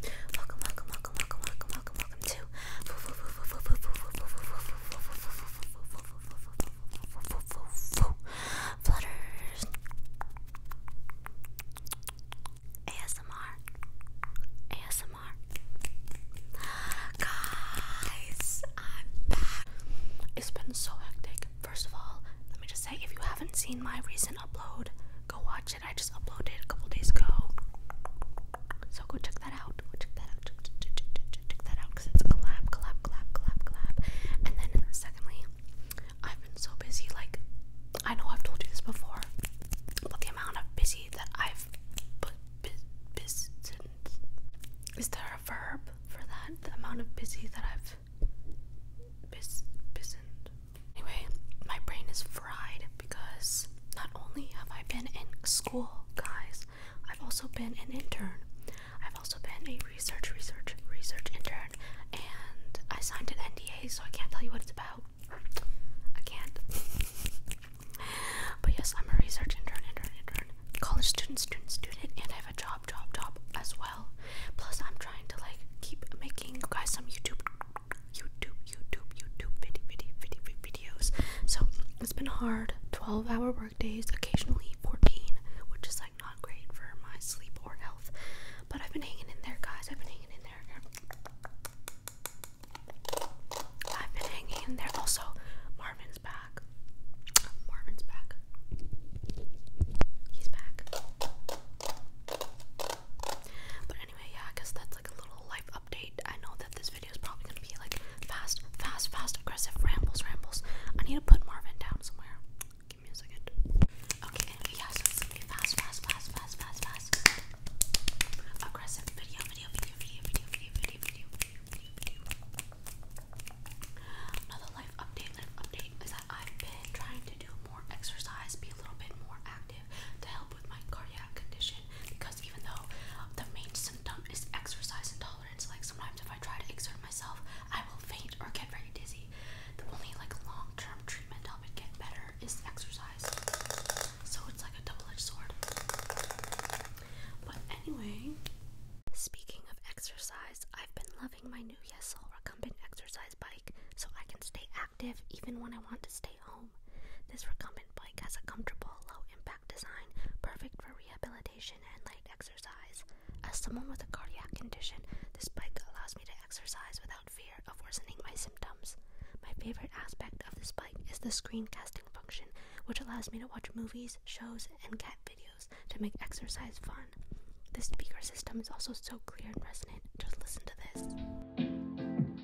Welcome, welcome, welcome, welcome, welcome, welcome, welcome to Flutters ASMR ASMR Guys, I'm back. It's been so hectic. First of all, let me just say if you haven't seen my recent upload, go watch it watched it. I just uploaded it a couple days ago. So go check that out. Go check that out. Check, check, check, check, check that out because it's collab, collab, collab, collab, collab. And then secondly, I've been so busy. Like I know I've told you this before, but the amount of busy that I've put busy. Is there a verb for that? The amount of busy that I've. Bis, bisoned, Anyway, my brain is fried because not only have I been in school, guys, I've also been an intern. I've also been a research, research, research intern, and I signed an NDA, so I can't tell you what it's about. I can't. but yes, I'm a research intern, intern, intern, college student, student, student, and I have a job, job, job as well. Plus, I'm trying to like keep making guys some YouTube YouTube, YouTube, YouTube videos. So it's been hard. 12 hour workdays, occasionally 14, which is like not great for my sleep or health. But I've been hanging in there, guys. I've been hanging in there. I've been hanging in there. Also, Marvin's back. Marvin's back. He's back. But anyway, yeah, I guess that that's like a little life update. I know that this video is probably gonna be like fast, fast, fast, aggressive rambles, rambles. I need to put Marvin down somewhere. Give me a second. Okay, anyway, yeah, so it's gonna be fast, fast, fast, fast, fast, fast. Aggressive video, video, video, video, video, video, video, video, video, video, video. Another life update, life update is that I've been trying to do more exercise, be a little bit more active to help with my cardiac condition because even though the main symptom is exercise intolerance, like sometimes if I try to exert myself, I will faint or get very dizzy. The only like long-term treatment to help it get better is exercise. So it's like a double-edged sword. But anyway, speaking of exercise, I've been loving my new YesSol recumbent exercise bike so I can stay active even when I want to stay this recumbent bike has a comfortable, low impact design, perfect for rehabilitation and light exercise. As someone with a cardiac condition, this bike allows me to exercise without fear of worsening my symptoms. My favorite aspect of this bike is the screen casting function, which allows me to watch movies, shows, and cat videos to make exercise fun. The speaker system is also so clear and resonant. Just listen to this.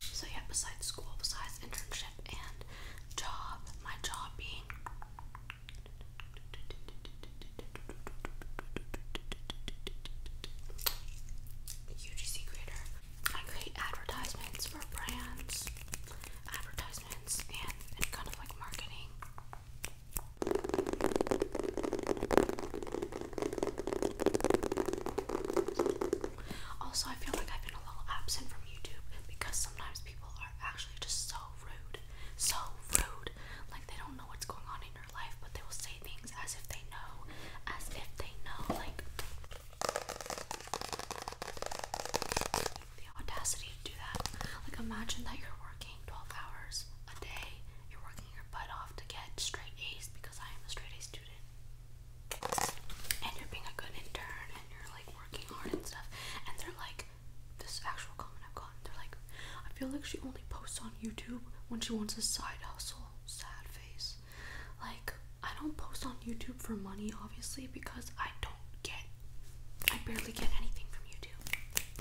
so yeah, besides school, besides internship and job, my job being UGC creator, I create advertisements for brands, advertisements, and, and kind of like marketing. Also, I feel like I've been a little absent from YouTube because sometimes people are actually just so rude. So rude. Like they don't know what's going on in your life, but they will say things as if they know. As if they know. Like the audacity to do that. Like imagine that you're working 12 hours a day. You're working your butt off to get straight A's because I am a straight A student. And you're being a good intern and you're like working hard and stuff. And they're like, this actual comment I've gotten, they're like, I feel like she only posts on YouTube when she wants a side hustle. Sad face. Like, I don't post on YouTube for money, obviously, because I don't get, I barely get anything from YouTube.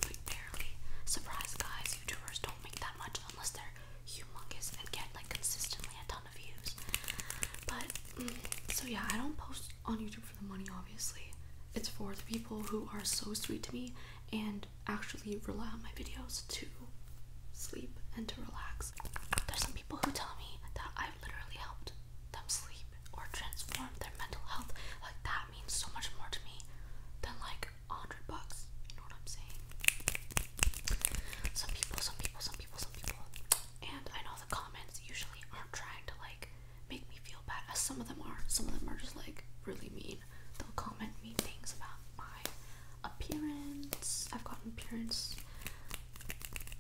Like, barely. Surprise, guys, YouTubers don't make that much unless they're humongous and get like consistently a ton of views. But mm, so yeah, I don't post on YouTube for the money obviously. It's for the people who are so sweet to me and actually rely on my videos to sleep and to relax. There's some people who tell me that I've literally helped them sleep or transform their mental health. Like that means so much more to me than like hundred bucks. You know what I'm saying? Some people, some people, some people, some people. And I know the comments usually aren't trying to like make me feel bad. As some of them are. Some of them are just like really mean. They'll comment mean things about my appearance. I've gotten appearance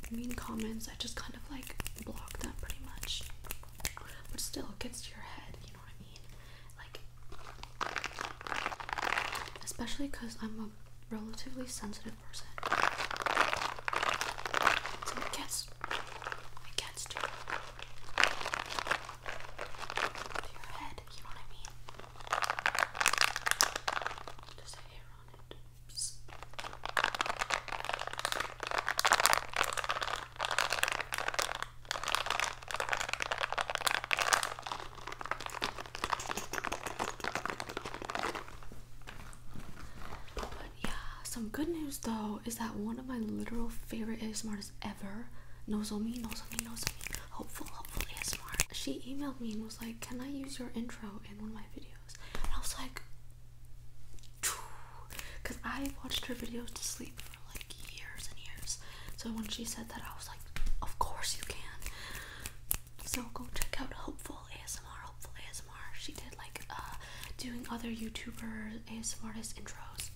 mean comments. I just kind of like block them pretty much. But still, it gets to your head, you know what I mean? Like, especially because I'm a relatively sensitive person. it gets, it gets to, your head, you know what I mean? Just a hair on it. But yeah, some good news though is that one of my literal favorite ASMR artists ever, Nozomi, Nozomi, me. hopeful, hopefully, ASMR. She emailed me and was like, "Can I use your intro in one of my videos?" And I was like, "Cause I watched her videos to sleep like years and years. So when she said that, I was like, of course you can. So go check out Hopeful ASMR. Hopeful ASMR. She did like uh, doing other YouTubers ASMR intros.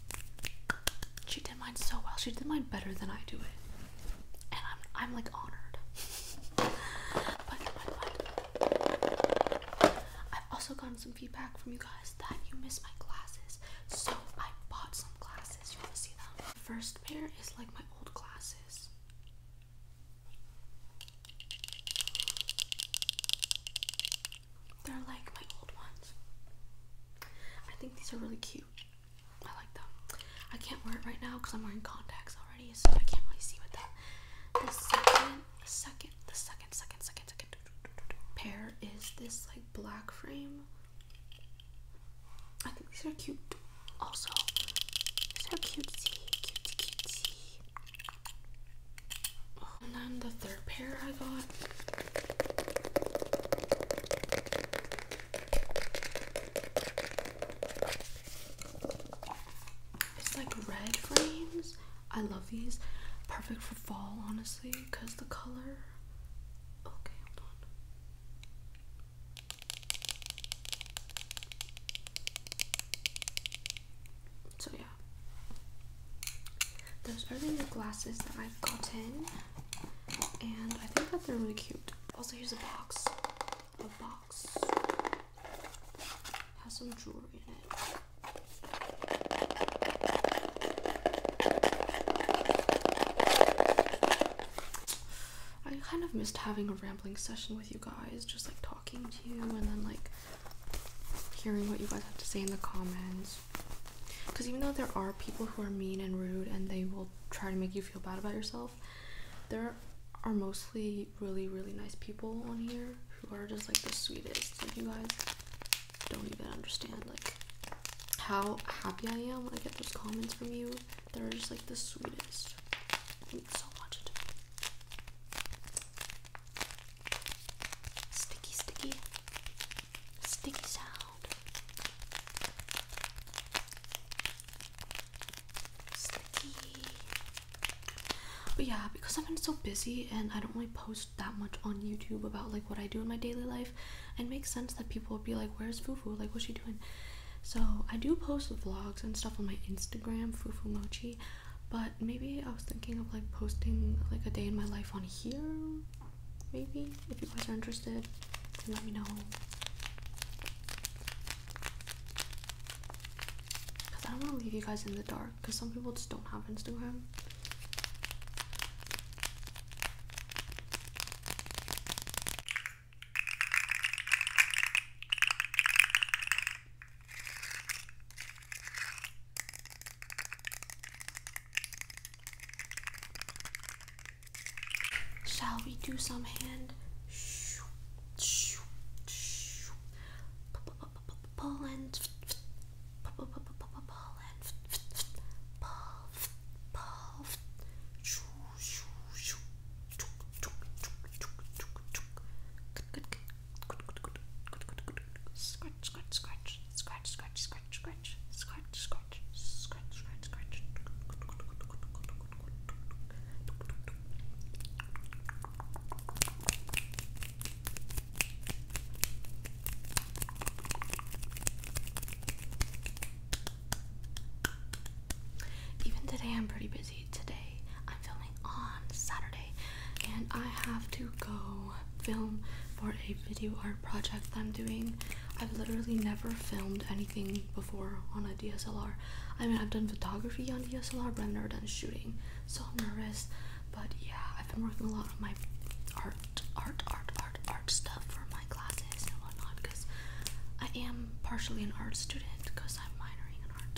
She did mine so well. She did mine better than I do it, and I'm I'm like honored. I've also gotten some feedback from you guys that you miss my glasses, so I bought some glasses. You wanna see them? The First pair is like my old glasses. They're like my old ones. I think these are really cute. I like them. I can't wear it right now because I'm wearing contacts already, so I can't really see with them. The second, the second, the second, second, second, second pair is this like black frame I think these are cute. Also, these are cutesy, cutesy, cutesy. Oh, and then the third pair I got. It's like red frames. I love these. Perfect for fall, honestly, because the color Okay, So yeah, those are the new glasses that I've gotten, and I think that they're really cute. Also, here's a box. A box has some jewelry in it. I kind of missed having a rambling session with you guys, just like talking to you and then like hearing what you guys have to say in the comments. Because even though there are people who are mean and rude and they will try to make you feel bad about yourself, there are mostly really, really nice people on here who are just like the sweetest. Like, you guys don't even understand. Like, how happy I am when I get those comments from you. They're just like the sweetest. Thanks so much. Sticky, sticky, sticky sound. Sticky. But yeah, because I've been so busy and I don't really post that much on YouTube about like what I do in my daily life. It makes sense that people would be like where's fufu like what's she doing so i do post vlogs and stuff on my instagram fufu mochi but maybe i was thinking of like posting like a day in my life on here maybe if you guys are interested let me know because i don't want to leave you guys in the dark because some people just don't have instagram Shall we do some hand pulling? pull and pull, pull. Scratch, scratch, scratch, scratch, scratch, scratch, scratch, scratch, scratch, scratch, scratch, scratch. Scratch, even today, I'm pretty busy. Today, I'm filming on Saturday, and I have to go film for a video art project I'm doing. I've literally never filmed anything before on a DSLR. I mean, I've done photography on DSLR, but I've never done shooting, so I'm nervous. But yeah, I've been working a lot on my art art, art, art, art, stuff for my classes and whatnot because I am partially an art student because I'm minoring in art.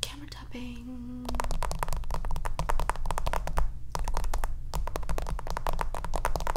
Camera tapping.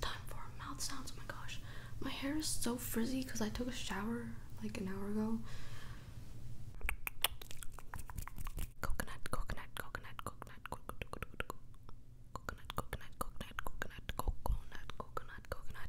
time for mouth sounds. Oh my gosh, my hair is so frizzy because I took a shower like an hour ago. coconut, coconut, coconut, coconut, coconut, coconut, coconut, coconut, coconut, coconut, coconut, coconut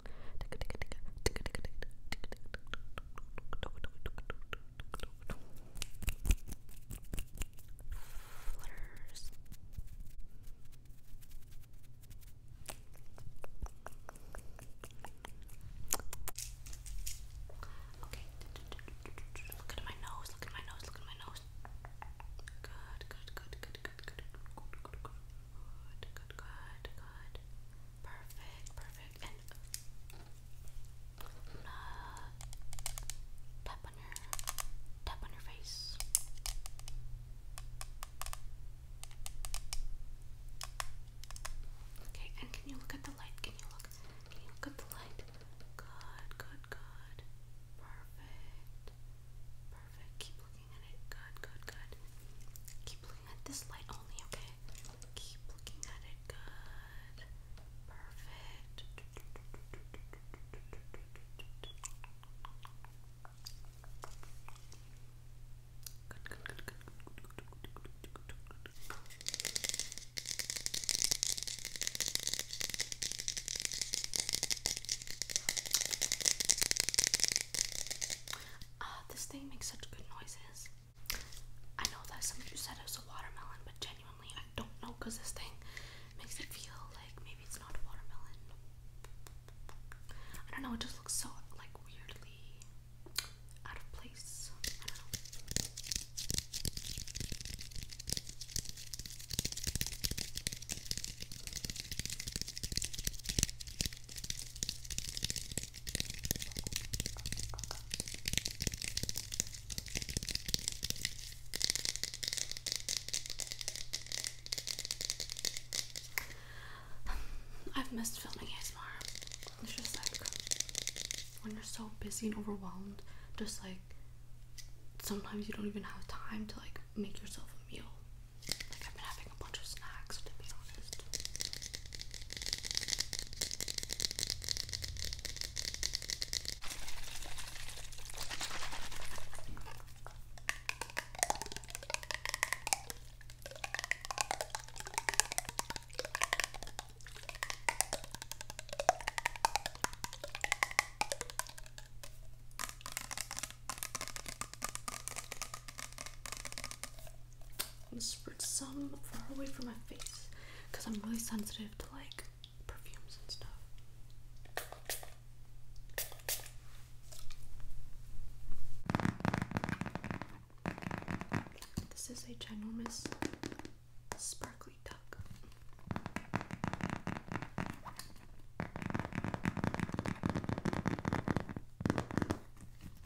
Flutters. Okay. Look at my nose. Look at my nose. Look at my nose. Good. Good. Good. Good. Good. Good. Good. Good. Good, good, good, good. Perfect, perfect. And i uh, tap on your tap on your face. Okay, and can you look at the light? Can you look? Can you look at the light? Good, good, good. Perfect. Perfect. Keep looking looking at it. Good, good, good. Keep looking at this light only, okay? Keep looking at it. Good. Perfect. good, good, good. Uh, this thing makes such good noises. I know that somebody said it was a watermelon, but genuinely I don't know because this thing makes it feel like maybe it's not a watermelon. I don't know, it just looks so like weirdly out of place. I've missed filming ASMR. It's just like when you're so busy and overwhelmed, just like sometimes you don't even have time to like make yourself a meal. Like I've been having a bunch of snacks to be honest. I'm gonna spritz some far away from my face because I'm really sensitive to like perfumes and stuff. This is a ginormous sparkly duck.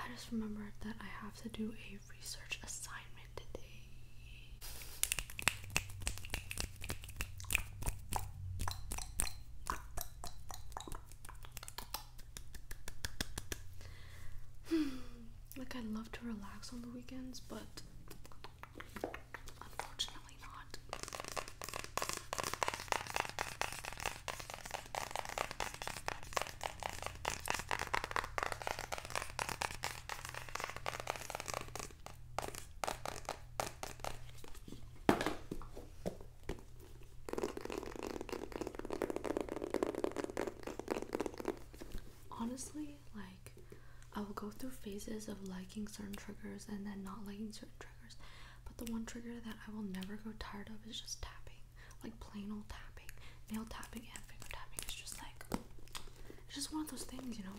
I just remembered that I have to do a research assignment today. like i love to relax on the weekends, but unfortunately not. Honestly, like I will go through phases of liking certain triggers and then not liking certain triggers. But the one trigger that I will never go tired of is just tapping. Like plain old tapping. Nail tapping and finger tapping. It's just like it's just one of those things, you know,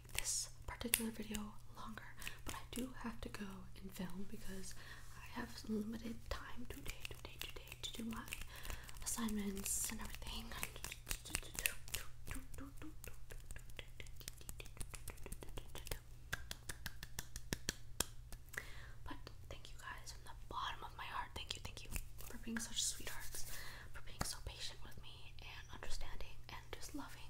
this particular video longer, but I do have to go and film because I have limited time today, today, today to do my assignments and everything. But thank you guys from the bottom of my heart. Thank you, thank you for being such sweethearts, for being so patient with me and understanding and just loving